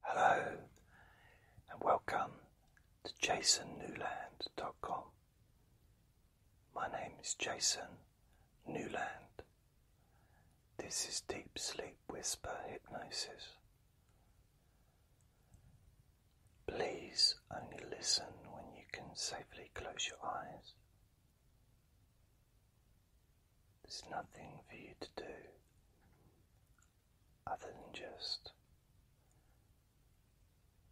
Hello, and welcome to jasonnewland.com. My name is Jason Newland. This is Deep Sleep Whisper Hypnosis. Please only listen when you can safely close your eyes. There's nothing for you to do other than just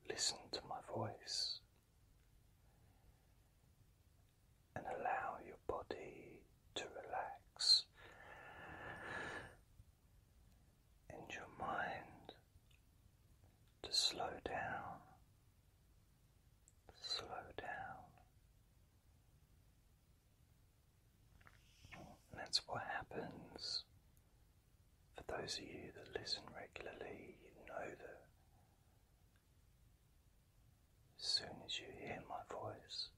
listen to my voice and allow your body to relax and your mind to slow down, slow down, that's what happens. For those of you that listen regularly, you know that as soon as you hear my voice,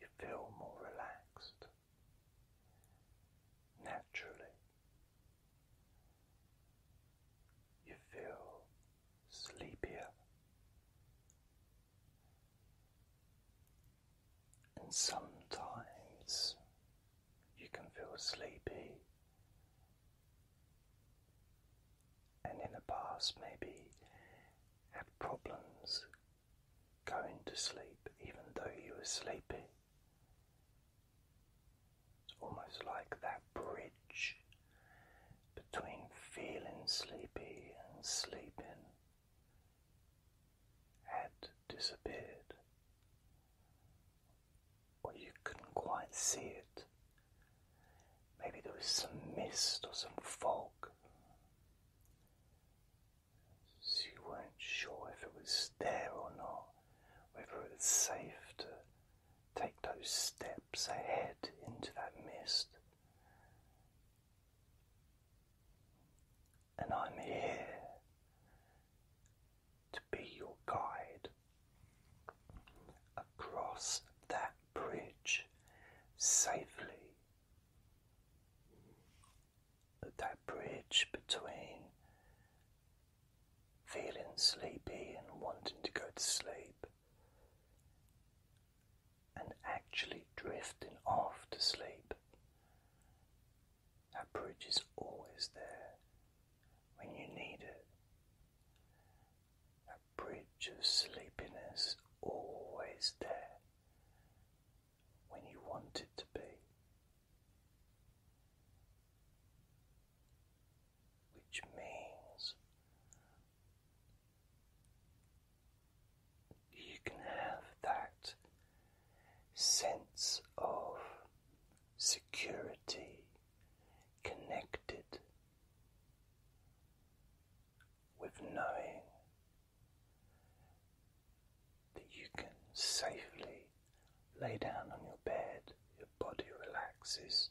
you feel more relaxed naturally. You feel sleepier, and sometimes you can feel sleepy. And in the past, maybe had problems going to sleep, even though you were sleepy. It's almost like that bridge between feeling sleepy and sleeping had disappeared, or you couldn't quite see it. Maybe there was some mist or some fog. So you weren't sure if it was there or not, whether it was safe to Take those steps ahead into that mist. And I'm here to be your guide across that bridge safely. That bridge between feeling sleepy and wanting to go to sleep and actually drifting off to sleep. That bridge is always there when you need it. That bridge of sleepiness always there when you want it to be which means you can have that sense of security connected with knowing that you can safely lay down on your bed, your body relaxes,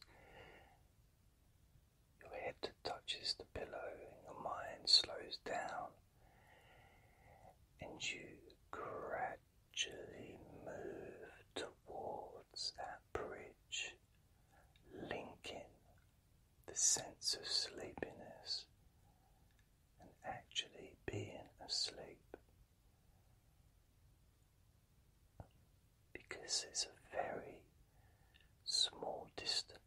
your head touches the pillow, and your mind slows down, and you gradually move towards that bridge, linking the sense of sleepiness and actually being asleep because it's a very small distance.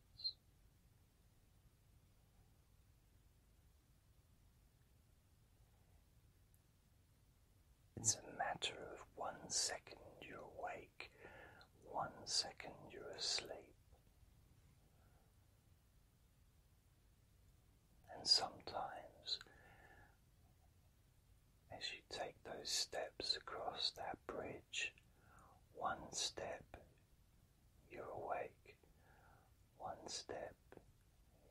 It's a matter of one second you're awake, one second you're asleep. And sometimes as you take those steps across that bridge, one step you're awake, one step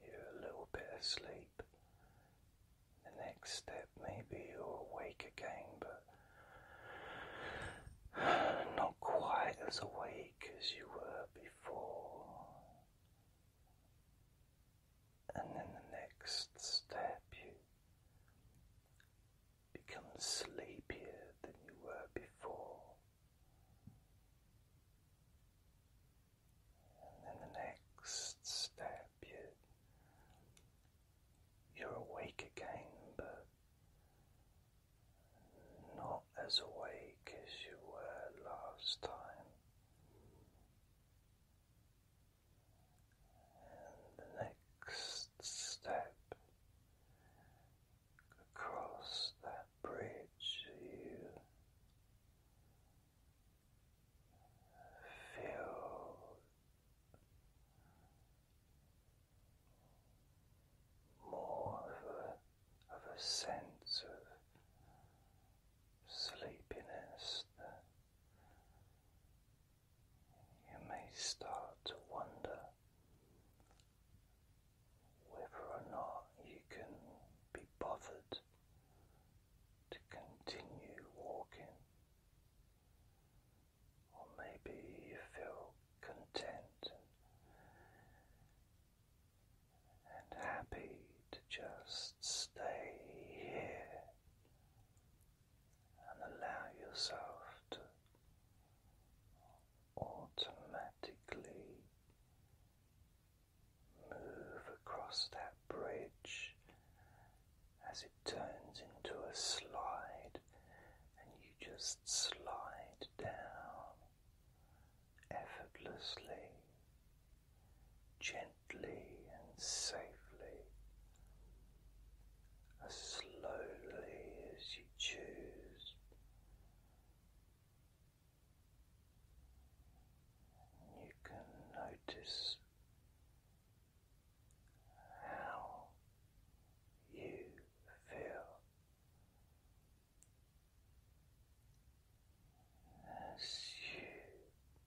you're a little bit asleep. The next step, maybe you're awake again, but not quite as awake as you were before and then the next step you become sleepier than you were before. And then the next step, you, you're awake again, but not as awake as you were last time. And the next step across that bridge, you feel more of a, sense of sleepiness. You may start to wonder whether or not you can be bothered to continue walking, or maybe you feel content and, happy to just stay here and allow yourself to automatically move across that bridge as it turns into a slide, and you just slide down effortlessly gently and safely, as slowly as you choose. you can notice how you feel as you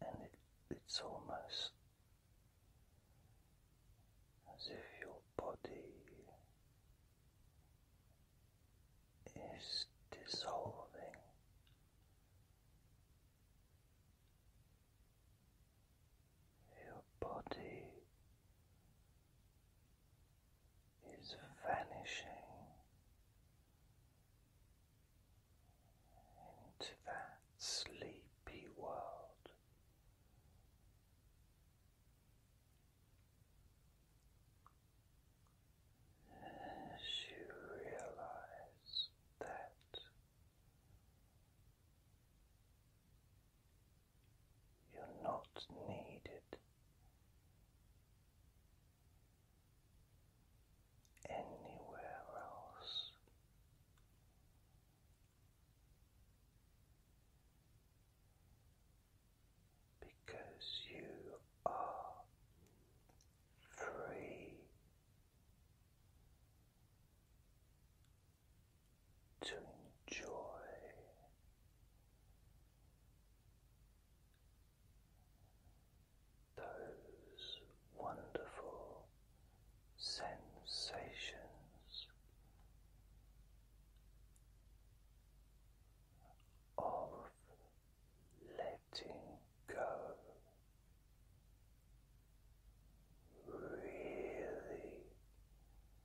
and it, it's almost as if your body is dissolving your body is vanishing into that sleepy world. As you realize that you're not needed. Anywhere else, because you are free to enjoy those wonderful sensations of letting go. Really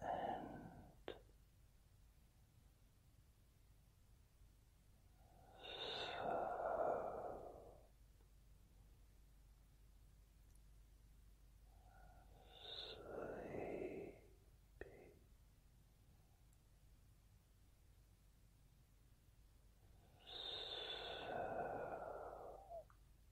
and so sleepy. So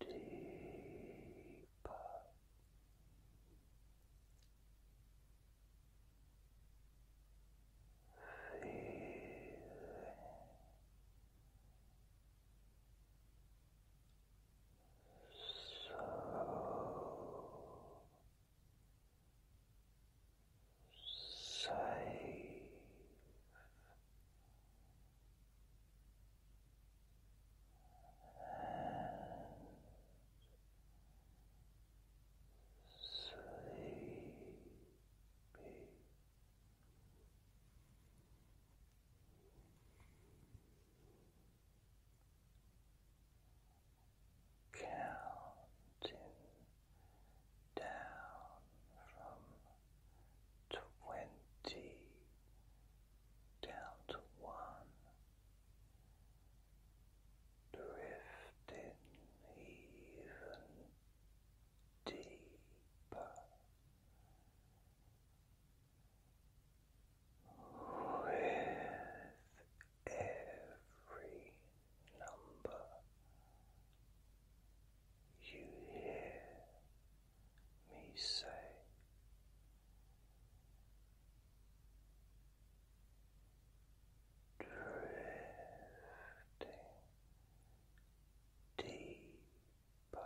deeper. Feeling so safe. Sleepy counting down from twenty down to one, drifting even deeper. With every number you hear me say. Drifting deeper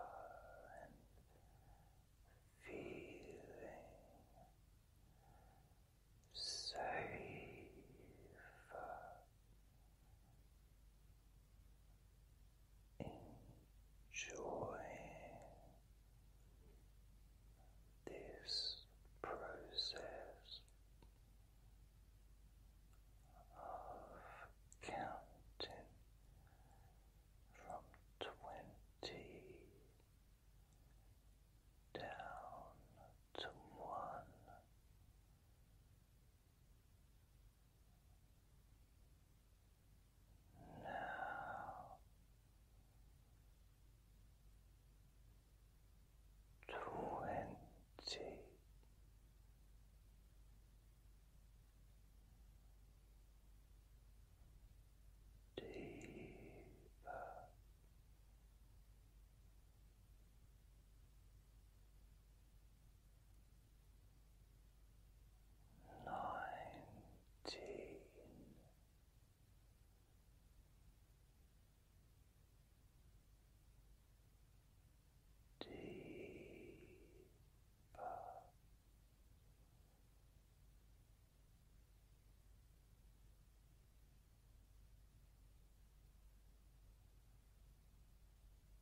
and feeling savor enjoying this process of counting from twenty down to one. Now twenty. Deeper nineteen. Deeper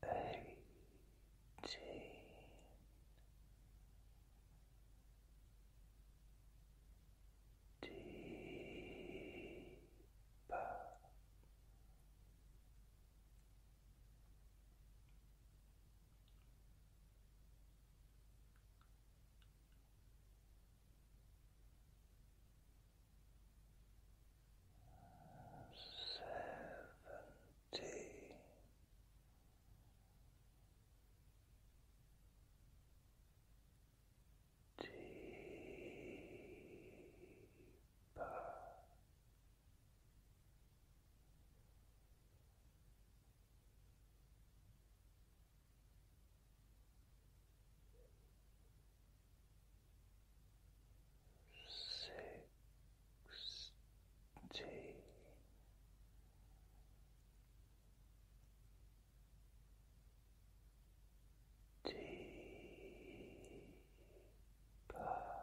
eighteen. Deeper. Seventeen. Deeper sixteen. Deeper.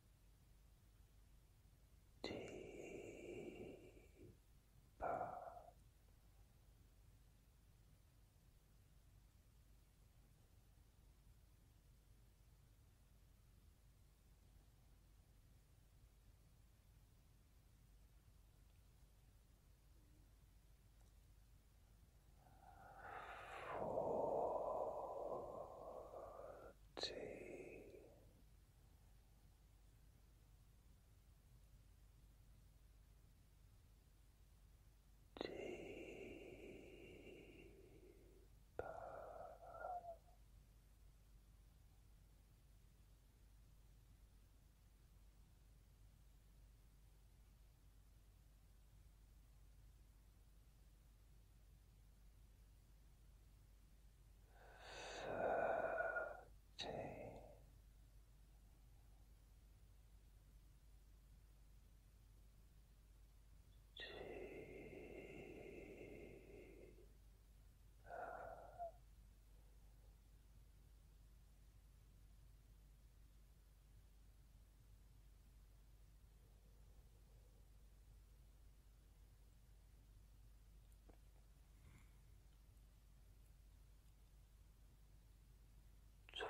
deeper forty. Deeper thirteen. Deeper. Twelve. Deeper.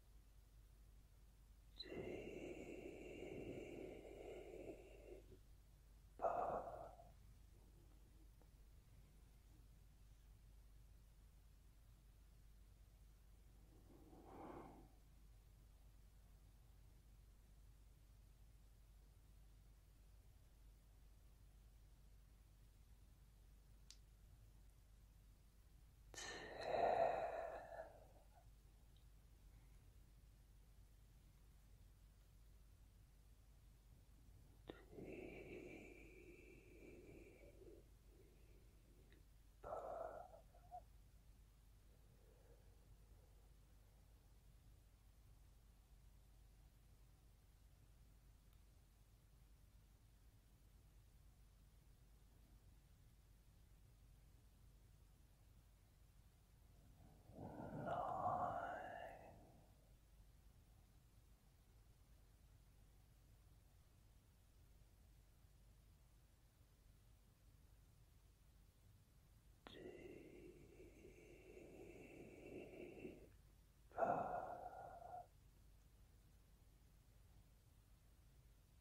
Deeper. Deeper. Nine. Deeper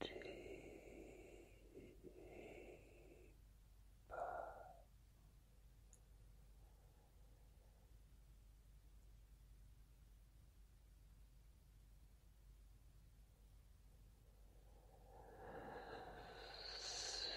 Deeper six